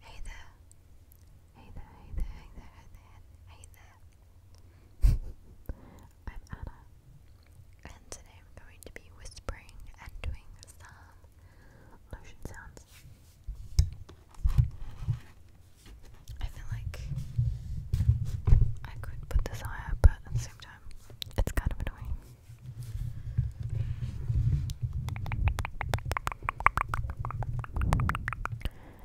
Hey there. Hey there, hey there, hey there, hey there, I'm Anna, and today I'm going to be whispering and doing some lotion sounds. I feel like I could put this but at the same time, it's kind of annoying.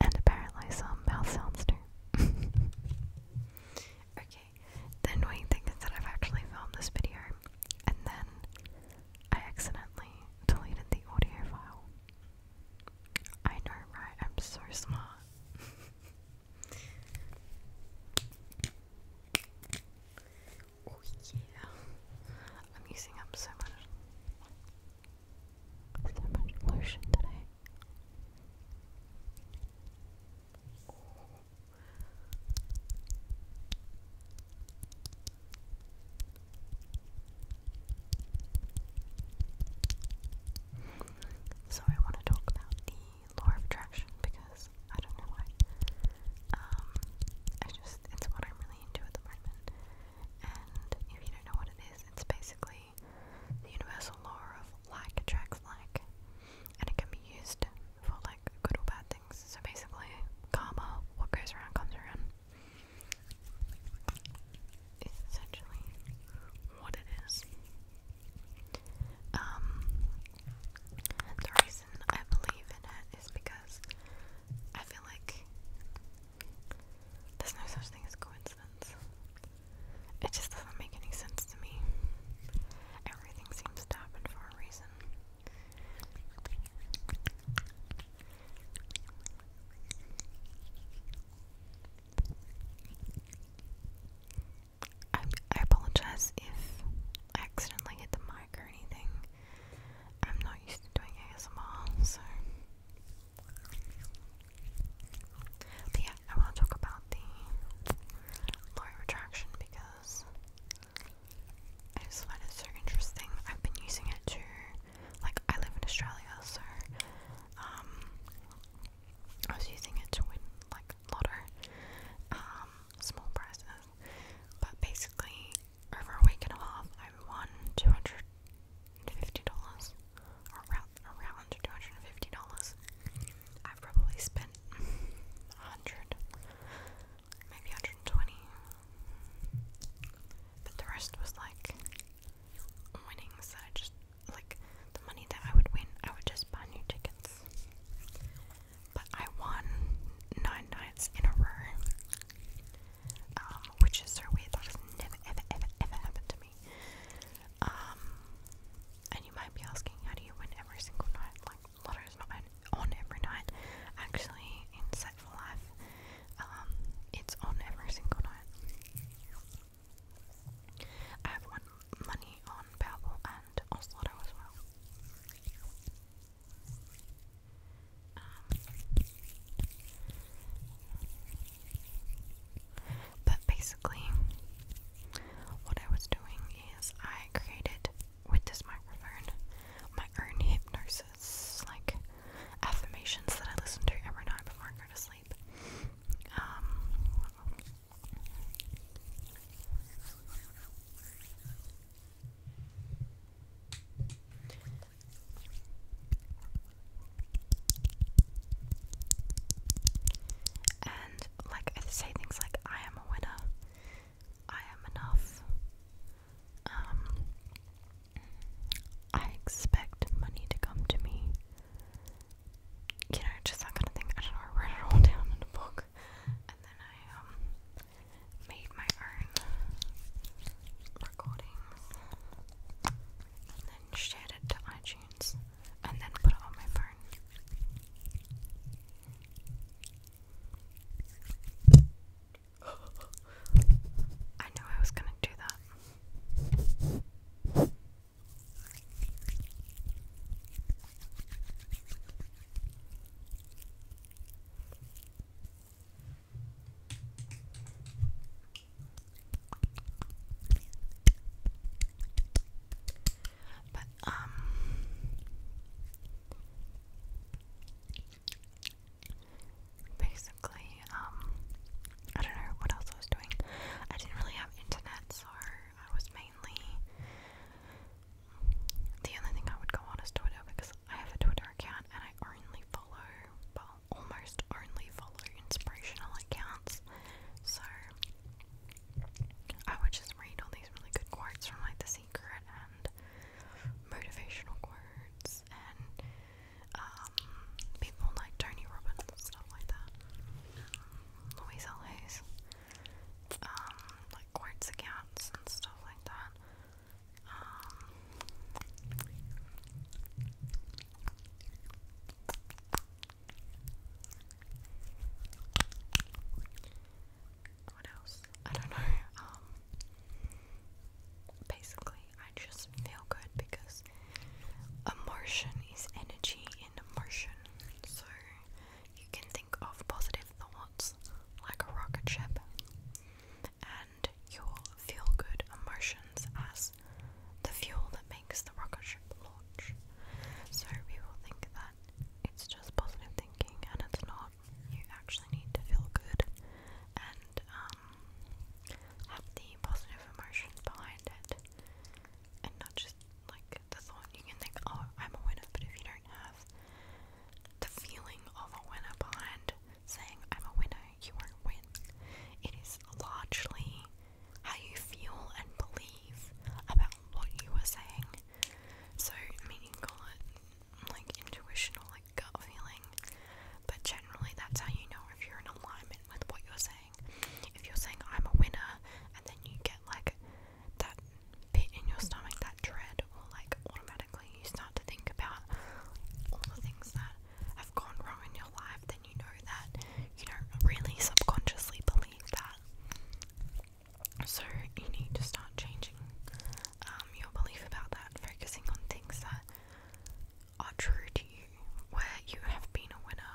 And apparently some mouth sounds too. okay, the annoying thing is that I've actually filmed this video and then I accidentally deleted the audio file. I know, right? I'm so smart. Oh yeah. I'm using up so much so much lotion today. So I want to talk about the law of attraction because I don't know why um, I just, it's what I'm really into at the moment. And if you don't know what it is, it's basically the universal law of like attracts like. And it can be used for like good or bad things. So basically, karma, what goes around comes around. It's essentially what it is. Um, the reason I believe in it is because I feel like there's no such thing as coincidence. It just doesn't make any sense to me. Everything seems to happen for a reason. I, I apologize if I accidentally hit the mic or anything. I'm not used to doing ASMR, so. yeah, I want to talk about the low retraction because I just find it so interesting. I've been using it to, like, I live in Australia, so um, I was using it to win like lotto, um, small prizes, but basically, over a week and a half, I won two hundred and fifty dollars, or around around two hundred and fifty dollars. I've probably spent a hundred, maybe hundred and twenty, but the rest was like winnings that I just like the money that I would win. I would just buy new tickets. But I won nine nights in a row, um, which is so weird. That has never, ever, ever, ever happened to me. Um, and you might be asking, how do you win every single night? Like, lotto is not on every night. Actually, in Set for Life, um, it's on every single night. I have won money on Powerball and Oz Lotto as well. Um, but basically, what I was doing is I created with this microphone my own hypnosis, like affirmations that I listen to every night before I go to sleep. Um, and like I say things like I am a winner, I am enough, um I expect money to come to me. You know, just that kind of thing. I don't know, I wrote it all down in a book and then I um made my own recordings, and then shared it to iTunes, and then put it on my phone. I knew I was gonna do that. But um basically, um I don't know what else I was doing. I didn't really have internet so I was mainly the only thing I would go on is Twitter because I have a Twitter account and I only follow, well, almost only follow inspirational accounts. So I would just read all these really good quotes from like The Secret and motivational quotes and um, people like Tony Robbins and stuff like that. Um, Louise L.A.'s um, like quartz accounts and stuff like that. Um, what else? I don't know. Um, basically, I just feel good because emotion is energy and emotion. So you can think of positive thoughts like a rocket ship and your feel good emotions as the fuel that makes the rocket ship launch. So people think that it's just positive thinking and it's not. You actually need to feel good and um, have the positive emotions behind it and not just like the thought, you can think, oh, I'm a winner, but if you don't have the feeling of a winner behind saying I'm a winner, you won't win. It is largely how you feel and believe about what you are saying. So, I mean, call it like intuition or like gut feeling, but generally that's how you know if you're in alignment with what you're saying saying. If you're saying I'm a winner and then you get like that pit in your stomach, that dread, or like automatically you start to think about all the things that have gone wrong in your life, then you know that you don't really subconsciously believe that. So you need to start changing um, your belief about that, focusing on things that are true to you, where you have been a winner,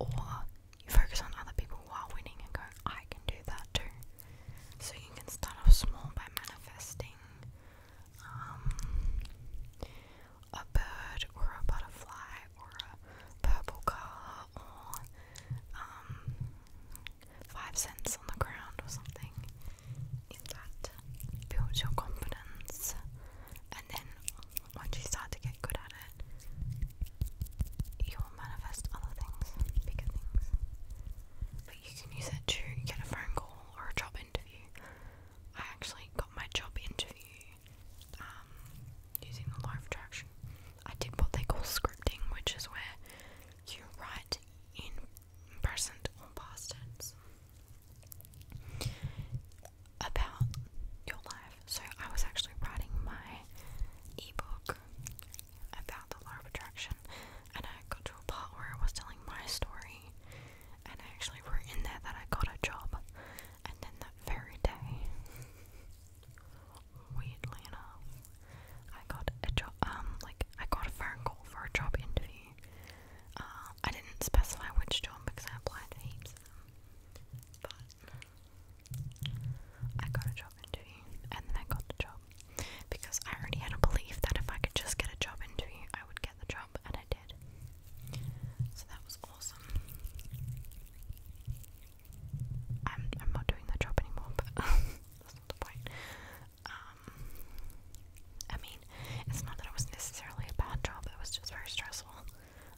or you focus on other people while winning and go, I can do that too. So you can start off small by manifesting um, a bird or a butterfly or a purple car or um, five cents on the ground or something. If that builds your confidence, and then once you start to get good at it, you will manifest other things, bigger things. But you can use it to get a phone call or a job interview. I actually got my job interview um, using the law of attraction. I did what they call scripting, which is where you write in present or past tense about your life. So I was actually writing my ebook about the law of attraction and I got to a part where I was telling my story and I actually wrote in there that I got a job and then that very day weirdly enough I got a job um like I got a phone call for a job interview. Uh, I didn't specify which job because I applied to heaps of them. But I got a job interview, and then I got the job because I already had a belief that if I could just get a job interview, I would get the job, and I did. So that was awesome. I'm not doing that job anymore, but that's not the point. Um, I mean, it's not that it was necessarily a bad job; it was just very stressful.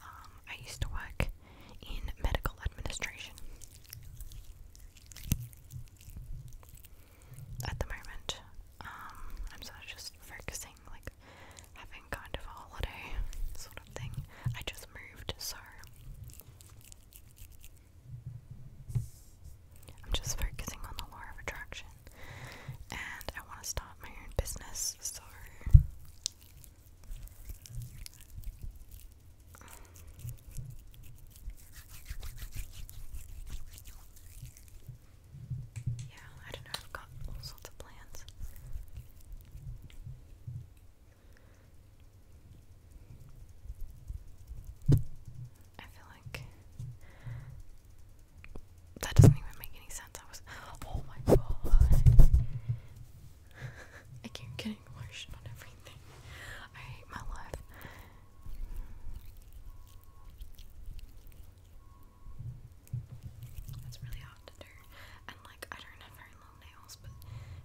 Um, I used to work in medical administration. At the moment, um, I'm sort of just focusing, like having kind of a holiday sort of thing. I just moved, so I'm just focusing on the law of attraction, and I want to start my own business. So yeah, I don't know, I've got all sorts of plans. I feel like that doesn't even make any sense. I was oh my god. I keep getting lotion on everything. I hate my life. It's really hot to do. And like I don't have very long nails, but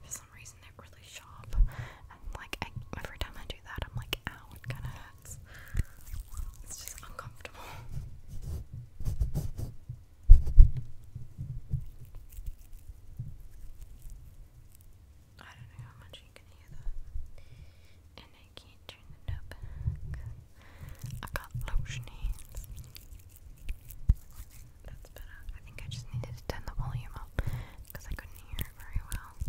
for some reason they're really sharp. And like every time I do that I'm like, ow, it kinda hurts. It's just uncomfortable. I don't know how much you can hear And I can't turn the knob I got lotion hands. That's better. I think I just needed to turn the volume up because I couldn't hear it very well.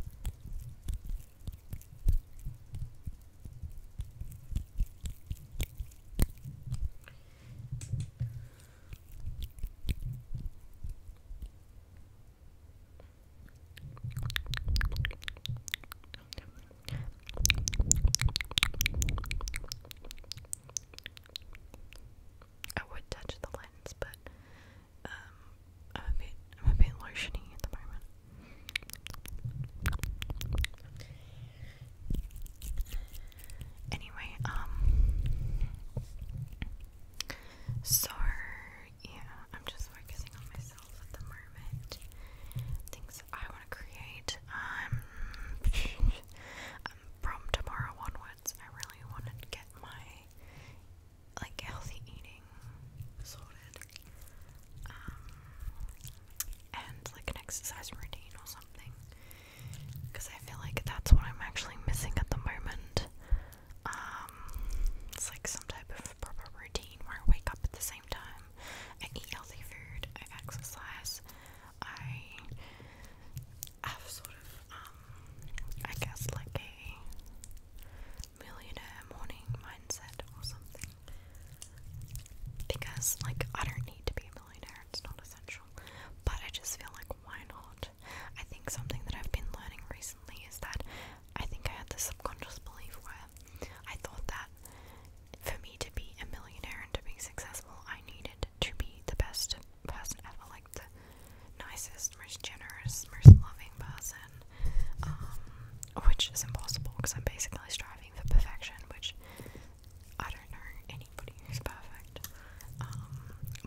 I would touch the lens, but um, I'm a bit, I'm a bit lotiony at the moment. Anyway, um, so yeah, I'm just focusing on myself at the moment. Things I want to create. Um, um, from tomorrow onwards, I really want to get my like healthy eating sorted. Um, and like an exercise routine or something. Because I feel like that's what I'm actually missing at the moment. Um, it's like some type of proper routine where I wake up at the same time, I eat healthy food, I exercise, I have sort of, um, I guess like a millionaire morning mindset or something. Because, like, I don't need to be a millionaire, it's not essential. But I just feel like, why not? I think something that I've been learning recently is that I think I had this subconscious belief where I thought that for me to be a millionaire and to be successful, I needed to be the best person ever, like the nicest, most generous, most loving person. Um, which is impossible because I'm basically striving for perfection, which I don't know anybody who's perfect. Um,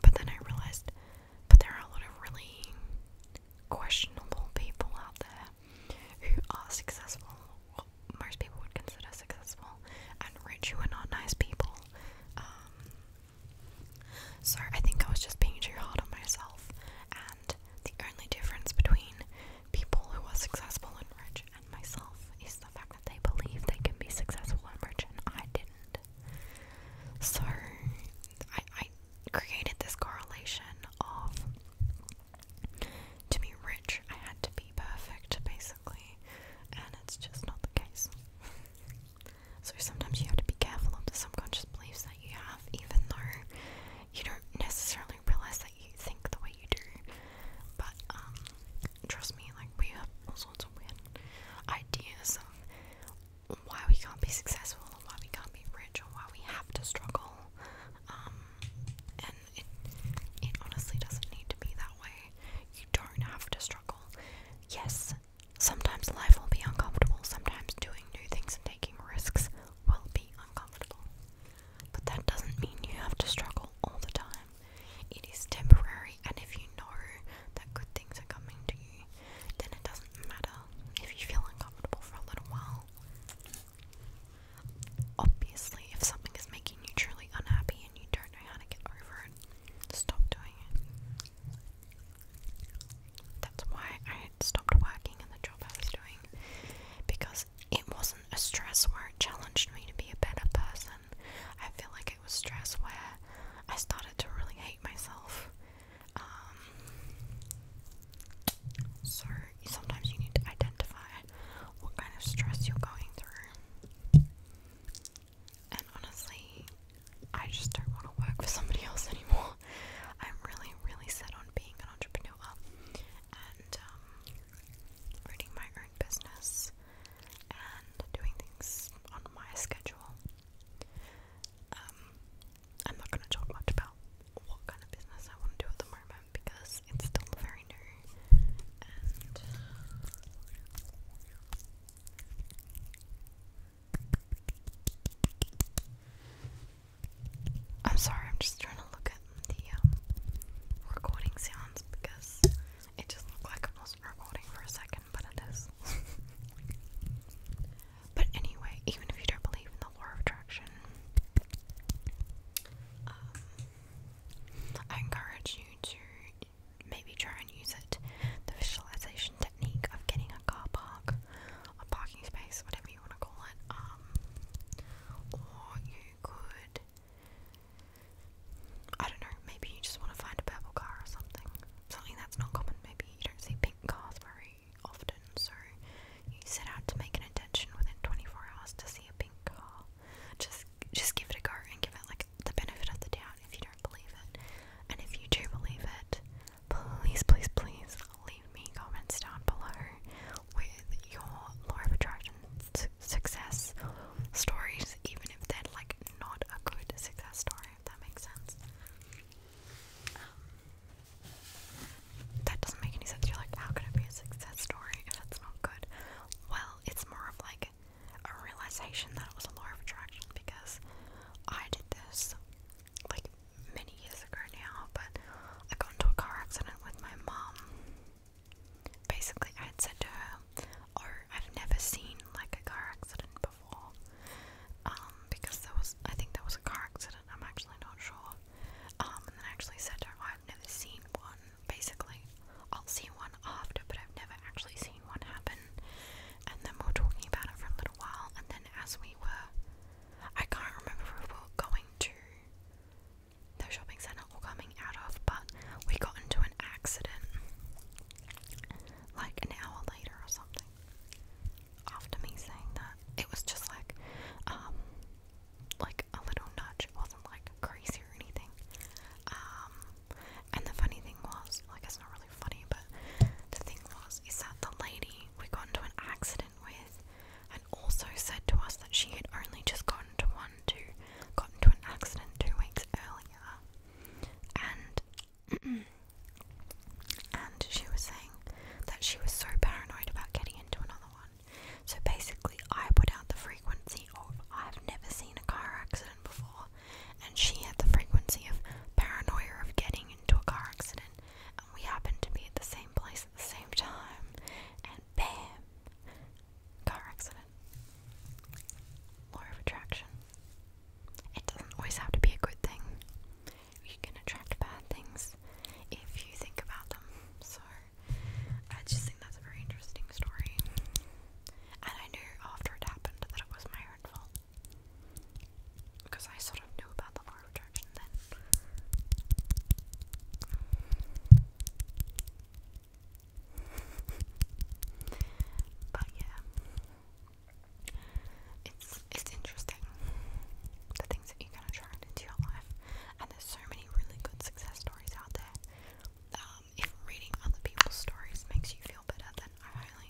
but then I realized, but there are a lot of really questionable people out there who are successful, what most people would consider successful, and rich who are not nice people. Um, so I think I was just being too hard on myself, the only difference between people who are successful and rich and myself is the fact that they believe they can be successful and rich, and I didn't. So I created this correlation of to be rich, I had to be perfect, basically, and it's just not the case. So sometimes you have to be careful of the subconscious beliefs that you have, even though you don't necessarily realize that you think the way you do. But um, trust me, like we have all sorts of weird ideas of why we can't be successful, or why we can't be rich, or why we have to struggle. Um, and it honestly doesn't need to be that way. You don't have to struggle. Yes, sometimes life will be uncomfortable. Sometimes doing new things and taking risks will be uncomfortable. But that doesn't mean you have to struggle all the time. It is temporary, and if you know that good things are coming to you, then it doesn't matter if you feel uncomfortable for a little while. Obviously, if something is making you truly unhappy and you don't know how to get over it, stop doing it. That's why I stopped working in the job I was doing because it wasn't a stress where it challenged me to be a better person. I feel like it was stress where I started to really hate myself. Um, so sometimes you need to identify what kind of stress you're going through. And honestly, I just don't want to work for somebody else anymore. I'm really, really set on being an entrepreneur and um, running my own business and doing things on my schedule. Um, I'm not going to talk much about what kind of business I want to do at the moment because it's still very new I'm sorry, I'm just trying to look at the um, recording sounds because it just looked like I wasn't recording for a second, but it is. but anyway, even if you don't believe in the law of attraction, um, I encourage you to maybe try and use it. The visualization technique of getting a car park, a parking space, whatever you want to call it. Um, or you could, I don't know, maybe you just want to find a purple car or something. Something that's not common. Maybe you don't see pink cars very often, so you set out to make an intention within 24 hours to see a pink car. Just, just give it a go and give it like the benefit of the doubt if you don't believe it, and if you do believe it, please, please, please leave me comments down below with your law of attraction success stories, even if they're like not a good success story, if that makes sense. Um, that doesn't make any sense. You're like, how could it be a success story if it's not good? Well, it's more of like a realization that it was a law of attraction because I did this like many years ago now, but I got into a car accident with my mum. Basically, I had said to her, "Oh, I've never seen like a car accident before," um, because there was, I think there was a car accident. I'm actually not sure. Um, and then I actually said to her, oh, "I've never seen one." Basically, I'll see one after, but I've never actually seen one happen and then we were talking about it for a little while, and then as we were, I can't remember if we were going to the shopping centre or coming out of, but we got into an accident like an hour later or something after me saying that. It was just like, um, like a little nudge, it wasn't like crazy or anything. Um, and the funny thing was, like, it's not really really funny, but the thing was is that the lady we got into an accident with and also said to us that she had only just gotten to one to got into an accident two weeks earlier and and she was saying that she was so paranoid about getting into another one. So basically I put out the frequency of I've never seen a car accident before and she had the frequency of paranoia of getting into a car accident, and we happened to be at the same place at the same time, and bam, car accident. Law of attraction. It doesn't always have to be a good thing. You can attract bad things if you think about them. So, I just think that's a very interesting story. And I knew after it happened that it was my own fault because I sort of knew about the law of then. but yeah, it's it's interesting the things that you can attract into your life, and there's so many really good success stories out there. Um, if reading other people's stories makes you feel better, then I highly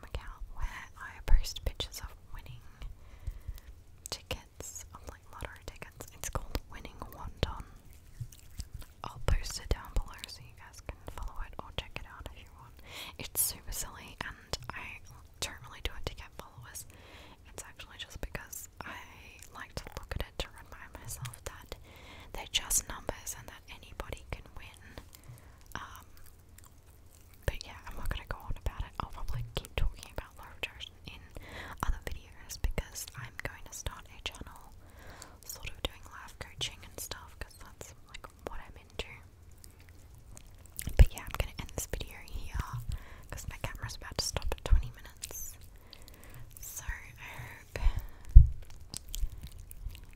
account where I post pictures of winning tickets, of like lottery tickets. It's called Winning Wonton. I'll post it down below so you guys can follow it or check it out if you want. It's super silly and I don't really do it to get followers. It's actually just because I like to look at it to remind myself that they're just numbers and that anybody can win. Um, but yeah, I'm not gonna go on about it. I'll probably keep talking about Laura in other videos because I'm going to start a channel sort of doing life coaching and stuff because that's like what I'm into. But yeah, I'm gonna end this video here because my camera's about to stop at 20 minutes. So I hope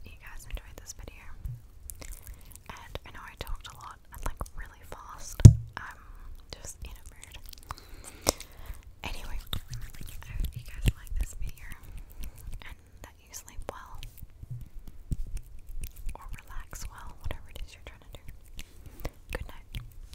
you guys enjoyed this video. And I know I talked a lot and like really fast. I'm just in a mood. Anyway, I hope you guys like this video and that you sleep well or relax well, whatever it is you're trying to do. Good night.